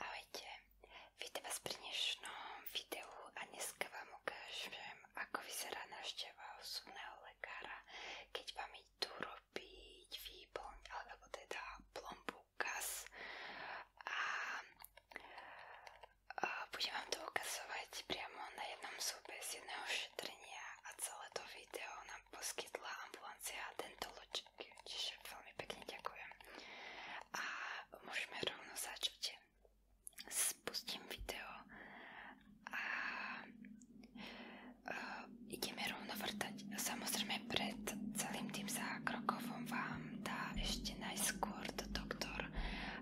Ahojte, vítam vás pri dnešnom videu a dneska vám ukážem, ako vyzerá návšteva osobného lekára, keď vám idú kúpiť výplň alebo teda plombu gaz a, a budem vám to ukazovať priamo na jednom súbe z jedného šetrenia a celé to video nám poskytla ambulancia Dentologic, čiže veľmi pekne ďakujem. A môžeme rovno začať. Spustím video a Uh, ideme rovno vrtať. Samozrejme pred celým tým zákrokom vám dá ešte najskôr do doktor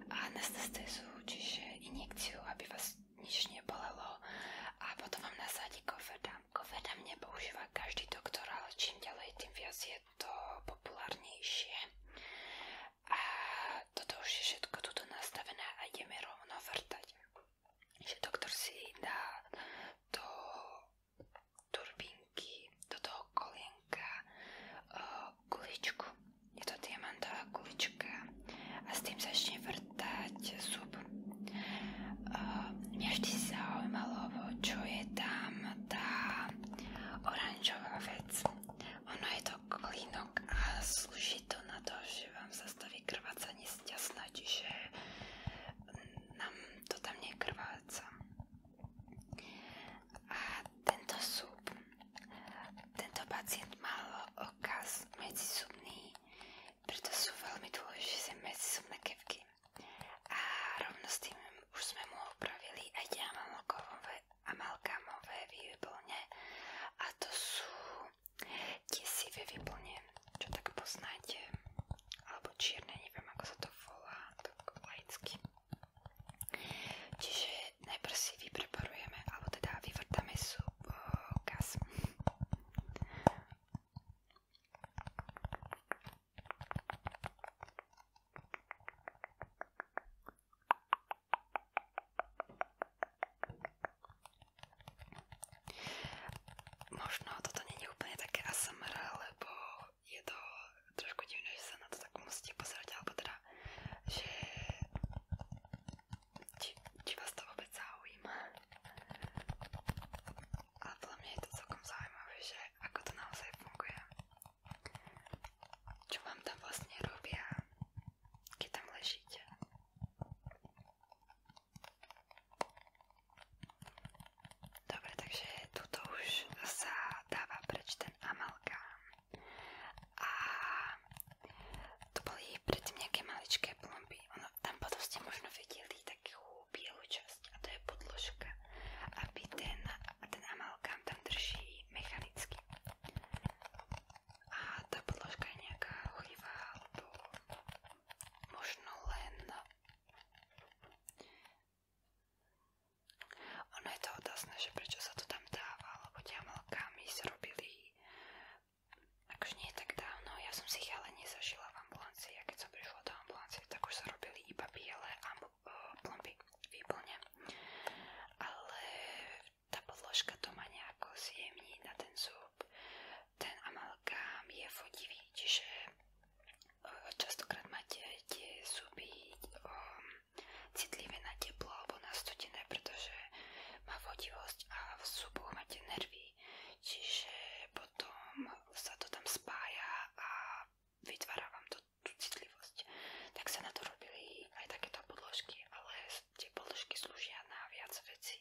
anestézu, čiže injekciu, aby vás nič nebolelo a potom vám nasadí kovedam. Kovedam nepoužíva každý doktor, ale čím ďalej, tým viac je to populárnejšie. A toto už je všetko tuto nastavené a ideme rovno vrtať že doktor si dá do turbinky, do toho kolienka guličku. E, je to diamantová gulička a s tým začne vrtať zub. E, mňa vždy zaujímalo, čo je tam tá oranžová vec. Ono je to klinok a slúži to na to, že vám zastaví krvácanie z čiže nám to tam nekrváca. A tento súb, tento pacient mal okaz medzisúbný, preto sú veľmi dôležité medzisúbne kevky. A rovno s tým už sme mu opravili aj diamalkové amalgamové výplne a to sú Desivý vyplnené, čo tak poznáte, alebo čierne, neviem ako sa to volá, tak laicky. Čiže najprv si vypreparujeme, alebo teda vyvrtame sú gaz. Možno toto není úplne také ASMR, lebo je to trošku divné, že sa na to tak musíte pozerať, alebo teda, že či, či vás to vôbec zaujíma. Ale podľa mňa je to celkom zaujímavé, že ako to naozaj funguje. Čo vám tam vlastne robia, keď tam ležíte. Dobre, takže tuto už sa dáva preč ten amalgám. A tu boli predtým nejaké maličké plomby. Ono, tam potom ste možno videli takú bielu časť a to je podložka, aby ten, ten amalgám tam drží mechanicky. A tá podložka je nejaká holivá alebo možno len ono je to otázne, že prečo sa to tam dáva, lebo ďamalkami zrobili akože nie tak dávno, ja som si ich ale nezažila v ambulancii a keď som prišla do ambulancie, tak už sa robili iba biele e, plomby výplne ale tá podložka to má nejako zjemní na ten zub ten amalgám je vodivý, čiže e, častokrát máte tie zuby um, citlivé na teplo alebo na studené, pretože má vodivosť a v zuboch máte nervy, čiže potom sa to tam spája a vytvára vám to, tú citlivosť. Tak sa na to robili aj takéto podložky, ale tie podložky slúžia na viac vecí.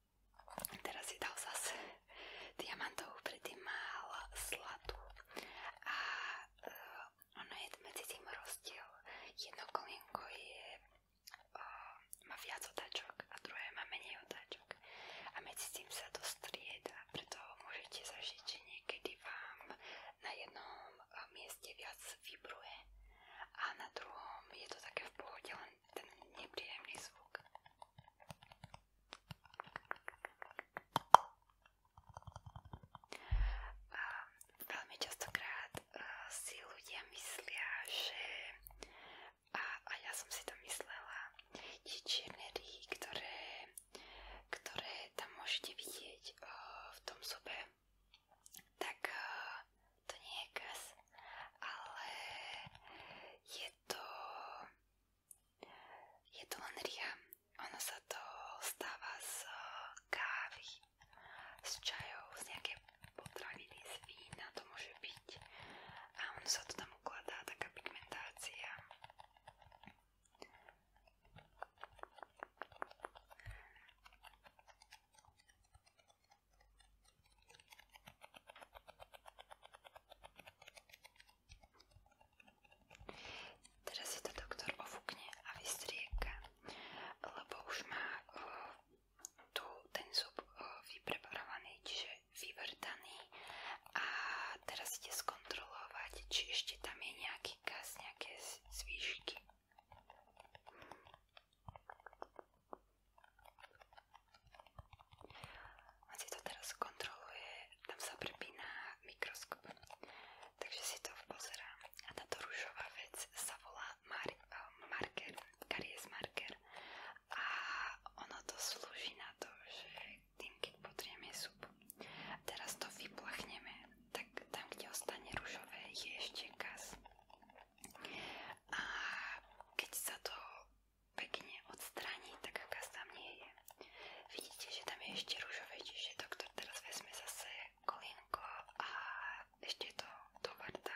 Teraz si dal zase diamantovú, predtým mal zlatú a uh, ono je medzi tým rozdiel. Jedno kolienko je, uh, má viac otáčok a druhé má menej otáčok a medzi tým sa to strieda, preto môžete zažiť, že niekedy vám na jednom eh, mieste viac vibruje a na druhom je to také v pohode, len ten nepríjemný zvuk. Veľmi častokrát eh, si ľudia myslia, že a, a ja som si to myslela, tie čierne ryhy, ktoré, ktoré tam môžete vidieť eh, v tom zube, tak eh, to nie je gaz, ale je to, je to len ria. Ono sa to stáva z eh, kávy, z čajov, z nejaké potraviny, z vína to môže byť. A ono sa to tam ukladá, taká pigmentácia. Teraz si to doktor ofúkne a vystrieka, lebo už má uh, tu ten zub uh, vypreparovaný, čiže vyvrtaný a teraz ide skontrolovať, či ešte tam je nejaký gaz, nejaké zvýšky. On si to teraz kontroluje, tam sa prepína mikroskop. Takže si to pozerám. A táto rúžová vec sa volá mar eh, marker, karies marker. A ono to slúži na to, že tým, keď potrieme zub, teraz to vyplachneme, tak tam, kde ostane rúžové, je ešte gaz. A keď sa to pekne odstraní, tak aká tam nie je. Vidíte, že tam je ešte rúžové, čiže doktor teraz vezme zase kolinko a ešte to dovardá.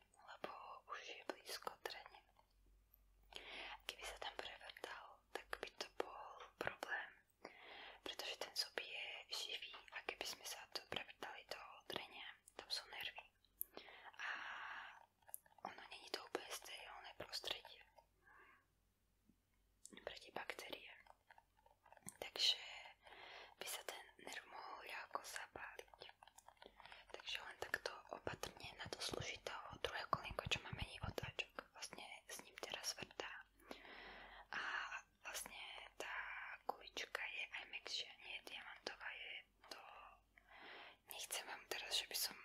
lebo už je blízko trene. Keby sa tam prevrtal, tak by to bol problém, pretože ten zub je živý a keby sme sa prevrtali do trenia, tam sú nervy. A ono není to úplne sterilné prostredie pre tie baktérie. Takže by sa ten nerv mohol ľahko sa zapáliť. Takže len takto opatrne na to služitého druhé kolienko, čo má menej otáčok. Vlastne s ním teraz vrtá. A vlastne tá kulička je aj mekšia, nie je diamantová, je to... Nechcem vám teraz, že by som...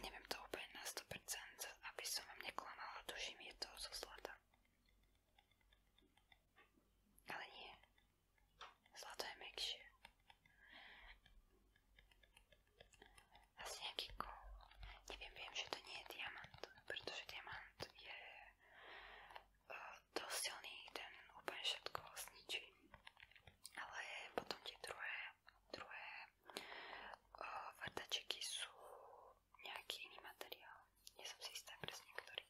Neviem to úplne na 100%, aby som vám neklamala, tuším, je to zo zlata. Ale nie, Zlato je mekšie. Asi nejaký kov. Neviem, viem, že to nie je diamant, pretože diamant je uh, dosť silný, ten úplne všetko zničí. Ale potom tie druhé, druhé uh, vrtačeky sú nejaký iný materiál. Nie som si istá presne, ktorý.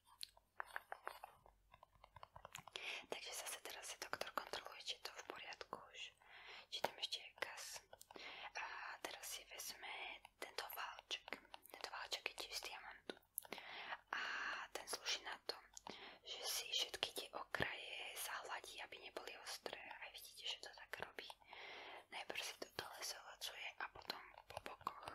Takže zase teraz si doktor kontroluje, či je to v poriadku už. Či tam ešte je gaz. A teraz si vezme tento válček. Tento válček je tiež z diamantu. A ten slúži na to, že si všetky tie okraje zahladí, aby neboli ostré. A vidíte, že to tak robí. Najprv si to dole zahladcuje a potom po bokoch.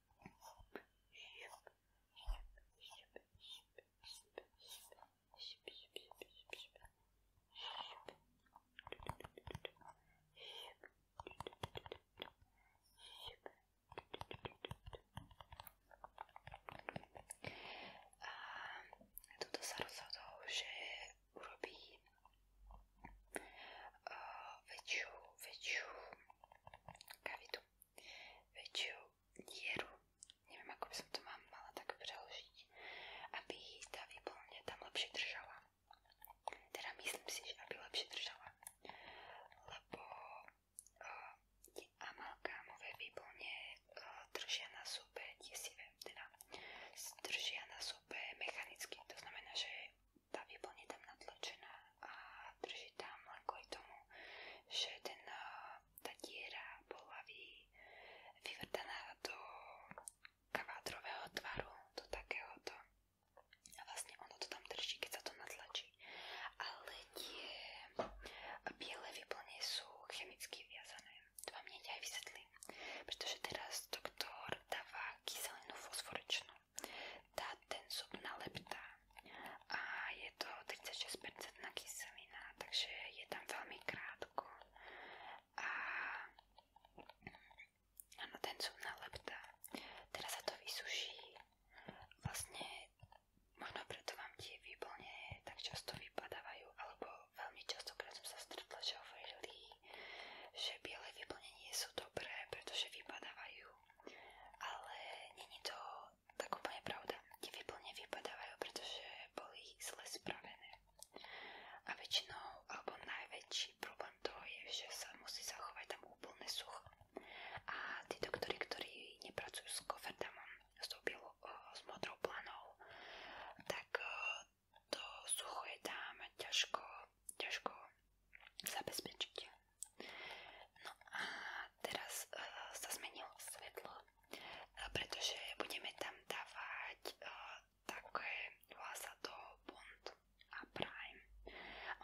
A tuto sa rozhodol, že urobí uh, väčšiu, väčšiu kavitu väčšiu dieru, neviem ako by som to mám, mala tak preložiť, aby tá výplň tam lepšie držala. Teda myslím si, že aby lepšie držala, lebo uh, tie amalgámové výplne uh, držia na súbe desivé, teda držia na súbe mechanicky, to znamená, že tá výplň je tam natlačená a drží tam len kvôli tomu, že ten, eh, tá diera bola vy, vyvrtaná do kvádrového tvaru, do takéhoto. A vlastne ono to tam drží, keď sa to natlačí. Ale tie biele výplne sú chemicky viazané. To vám hneď aj vysvetlím. Pretože teraz doktor dáva kyselinu fosforečnú tá, ten zub naleptá a je to 36% na kyselina, takže je tam veľmi krátko a áno, ten zub naleptá. Teraz sa to vysuší, vlastne možno preto vám tie výplne tak často vypadávajú, alebo veľmi častokrát som sa stretla, že hovorili, že biele výplne nie sú dobré, pretože vypadávajú ale není to tak úplne pravda. Tie výplne vypadávajú, pretože zle spravené. A väčšinou, alebo najväčší problém toho je, že sa musí zachovať tam úplne sucho. A tí doktori, ktorí nepracujú s koferdamom, s tou eh, modrou planou, tak eh, to sucho je tam ťažko ťažko zabezpečiť. No a teraz uh, sa zmenilo svetlo, uh, pretože budeme tam dávať uh, také vlása do Bond a Prime.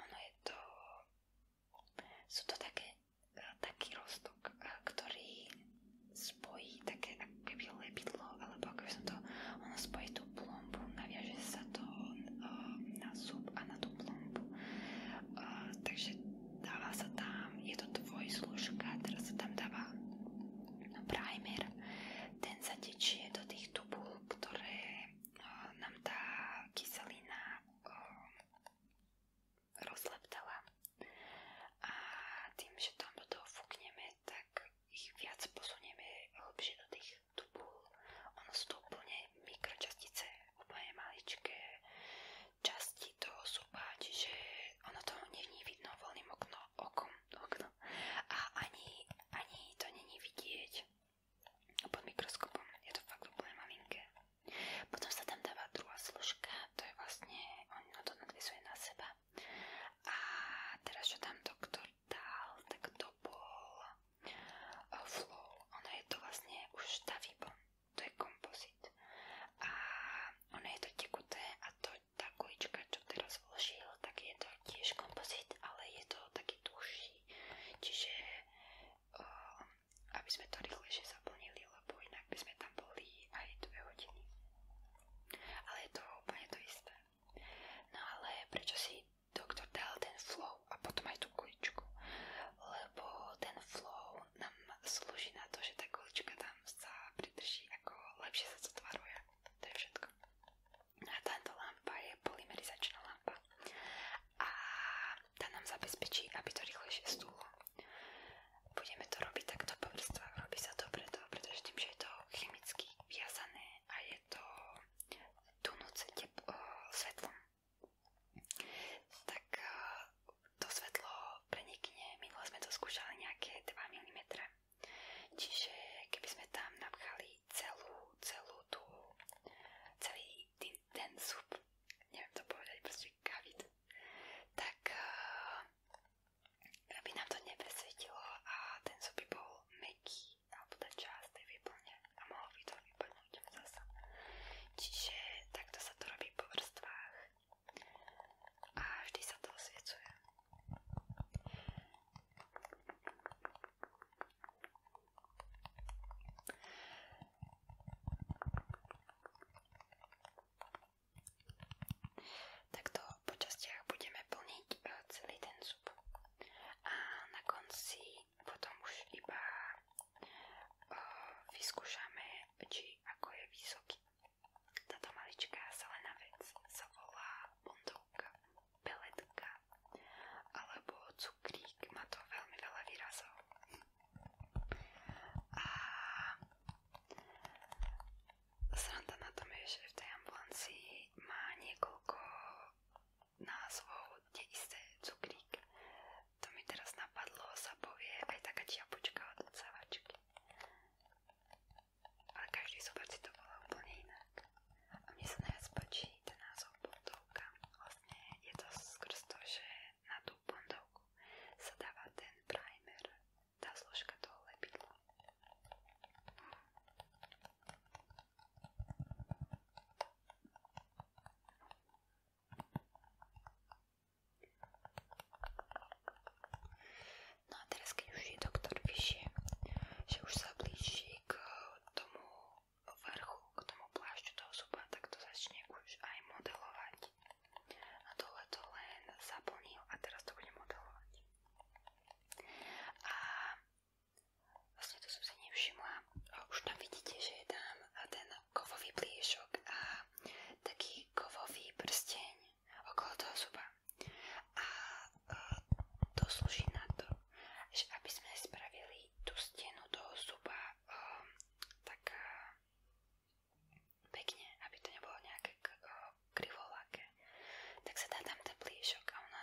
Ono je to, sú to také, uh, taký roztok, uh, ktorý spojí také ako keby lepidlo, alebo ako by som to, ono spojí tú plú plombu, naviaže sa to uh, na zub a na tú plombu. Uh, takže dáva sa tam, je to tvoj služka, teraz sa tam dáva no, primer, ten sa tečie do tých tubúl, ktoré uh, nám tá kyselina uh, rozleptala a tým, že tam do toho fúkneme, tak ich viac posunieme hlbšie do tých tu bol, ono sú to úplne mikročastice, úplne maličké časti toho zuba, čiže ono to není vidno voľným okno, okom, okno a ani, ani to není vidieť pod mikroskopom, je to fakt úplne malinké. Potom sa tam dáva druhá složka, to je vlastne, ono to nadvisuje na seba a teraz čo tam doktor dal, tak to bol flow. Ono je to vlastne už tá výbon, to je kompozit. A ono je to tekuté a to, tá kulička, čo teraz vložil, tak je to tiež kompozit, ale je to taký tuší. Čiže aby sme to rýchlejšie zaplnili, lebo inak by sme tam boli aj 2 hodiny. Ale je to úplne to isté. No ale prečo si doktor dal ten flow a potom aj tú kuličku, lebo ten flow nám slúži na to, že tá kulička tam sa pridrží, ako lepšie sa zatvaruje. To je všetko. A táto lampa je polymerizačná lampa a tá nám zabezpečí, aby to rýchlejšie stúlo. Budeme to robiť takto po vrstvách. Robí sa to preto, pretože tým, že je to chemicky viazané a je to tú noc tep- eh, tak eh, to svetlo prenikne, minule sme to skúšali nejaké 2 mm. Čiže keby tam napchali celú, celú tú, celý ten, ten to povedať, proste kavit, tak eh, by nám to nepresvietilo a ten zub by bol meký alebo tá teda časť tej výplne a malo by to vypadnúť zase. takto sa to robí po vrstvách a vždy sa to osviecuje. Takto po častiach budeme plniť eh, celý ten zub a na konci potom už iba uh, vyskúšame, či ako je vysoký. Táto maličká zelená vec sa volá bondovka, peletka alebo cukrík, má to veľmi veľa výrazov. A sranda na tom je, že v tej ambulancii má niekoľko názvov neisté cukrík. To mi teraz napadlo, sa povie aj taká čiapočka od odsávačky. Ale každý zober si to bolo úplne inak. A mne sa najviac páči ten názov bondovka. Vlastne je to skrz to, že na tú bondovku sa dáva ten primer, tá zložka toho lepidla. No a teraz keď už je doktor vyššie, že už sa blíži k tomu vrchu, k tomu plášťu toho zuba, tak to začne už aj modelovať. A tohle to len zaplnil a teraz to bude modelovať. A Vlastne to som si nevšimla. Už tam vidíte, že je tam ten kovový pliešok a taký kovový prsteň okolo toho zuba. A e, to slúži na to, že aby sme spravili tú stenu toho zuba um, tak uh, pekne, aby to nebolo nejaké krivoláke, tak sa dá tam ten pliešok a ono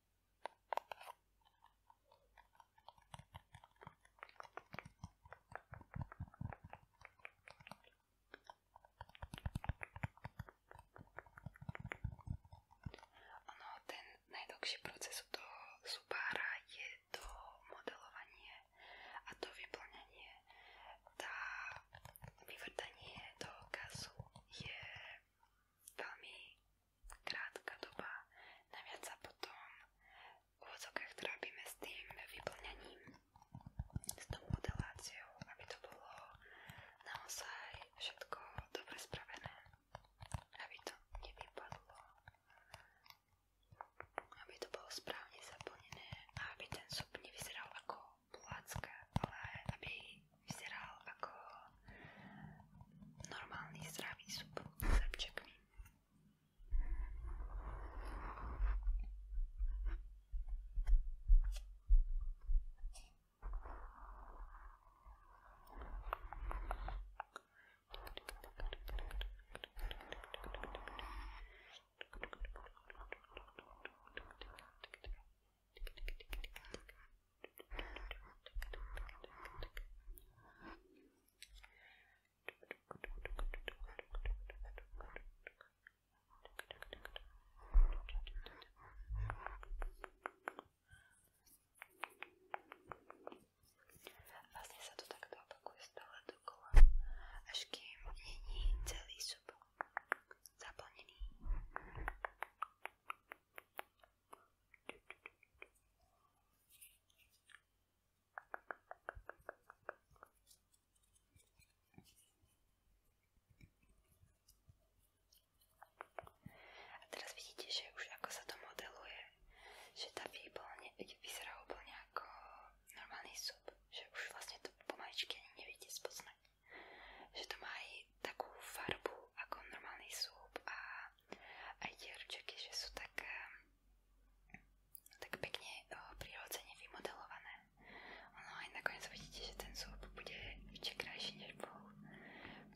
Ono, ten najdlhší proces u toho zubára je to modelovanie a to vyplňanie. Tá vyvrtanie toho gazu je veľmi krátka doba. Naviac sa potom v úvodzokách trápime s tým vyplňaním, s tou modeláciou, aby to bolo naozaj všetko dobre spravené. Aby to nevypadlo. Aby to bolo správne zaplnené a aby ten súb nevyzeral ako placka, ale aby vyzeral ako normálny zdravý súb s hrčekmi. Dobre, Vlastne sa to takto opakuje stále dokola, až kým není celý šup zaplnený. A teraz vidíte, že už ako sa to modeluje, že tá výplň vyzerá úplne ako normálny súb, že už vlastne to pomaličky ani neviete spoznať že to má aj takú farbu ako normálny súb a aj tie ručeky, že sú tak, eh, tak pekne eh, prirodzene vymodelované. Ono aj nakoniec vidíte, že ten súb bude ešte krajší než bol.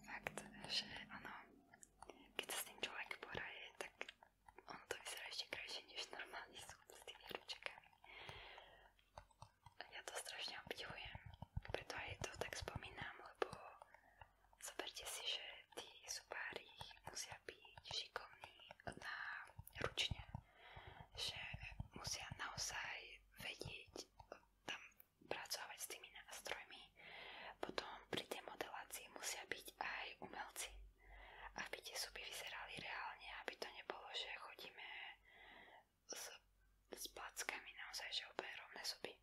Fakt, že ono, keď sa s tým človek poraje, tak ono to vyzerá ešte krajšie než normálny súb s tými ručekami. A ja to strašne obdivujem, preto aj to tak spomínam, lebo zoberte si, že tí zubári musia byť šikovní na ručne, že musia naozaj vedieť tam pracovať s tými nástrojmi. Potom pri tej modelácii musia byť aj umelci, aby tie zuby vyzerali reálne, aby to nebolo, že chodíme s, s plackami naozaj, že úplne rovné zuby.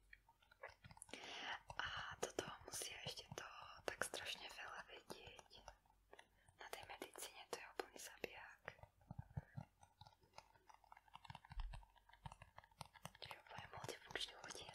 A toto musia ešte to tak strašne veľa vedieť. Na tej medicíne to je úplný zabiják. Čiže úplne multifunkční ľudia.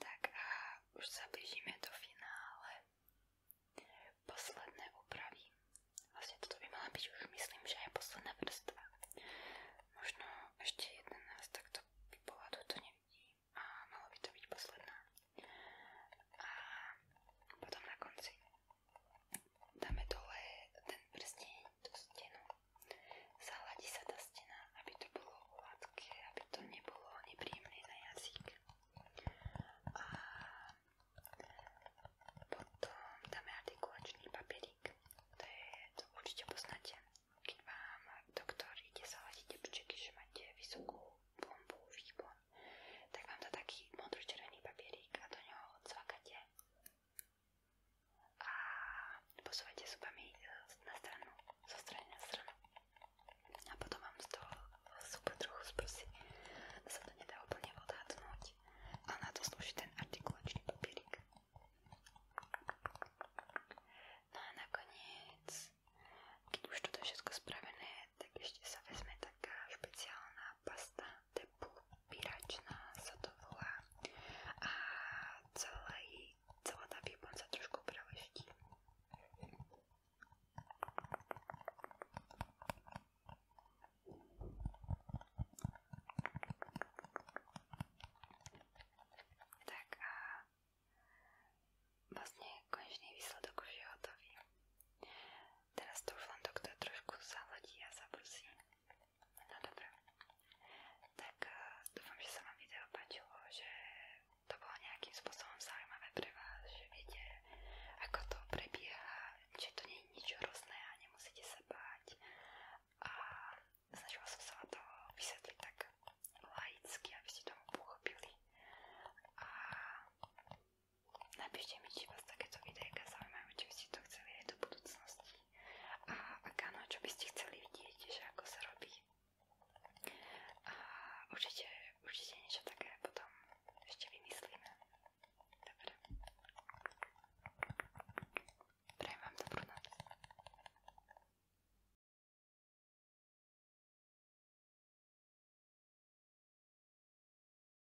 Tak a už sa blížime do finále. Posledné úpravy. Vlastne toto by mala byť už myslím, že je posledná vrstva. Možno ešte 11, tak to by bola, toto nevidím. A malo by to byť posledná. A potom na konci dáme dole ten prsteň tú stenu. Zahladí sa tá stena, aby to bolo hladké, aby to nebolo nepríjemné na jazyk. A potom dáme artikulačný papierik. To, je, to určite poznáte. Keď vám doktor ide zaladiť tepčeky, že máte vysokú bombu, výbon, tak vám dá taký modro-červený papierik a do neho odsvakáte a posúvajte zubami e, na stranu, zo strany na stranu. A potom vám z toho zuba trochu zbrsi. Sa to nedá úplne odhadnúť. A na to slúži ten artikulačný papierik. No a nakoniec, keď už toto je všetko spravené, tak ešte sa vezme taká špeciálna pasta tepupiračná sa to volá a celý, celá tá výbor sa trošku preleští. Tak a vlastne konečný výsledok už je hotový. Teraz to už len doktor trošku zaladí a zabrusí. No dobré. Tak e, dúfam, že sa vám video páčilo, že to bolo nejakým spôsobom zaujímavé pre vás, že viete, ako to prebieha, že to nie je nič hrozné a nemusíte sa báť. A snažila som sa vám to vysvetliť tak laicky, aby ste to pochopili. A napíšte mi, či vás takéto videjka zaujímajú, či by ste to chceli aj do budúcnosti a ak áno, čo by ste chceli vidieť, že ako sa robí. A určite, určite niečo také potom ešte vymyslíme. Dobre. Prajem vám dobrú noc.